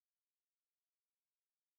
Hello everyone,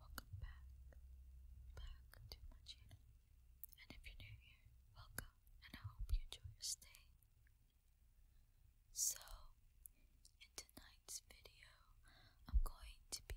welcome back, back to my channel, and if you're new here, welcome, and I hope you enjoy your stay. So, in tonight's video, I'm going to be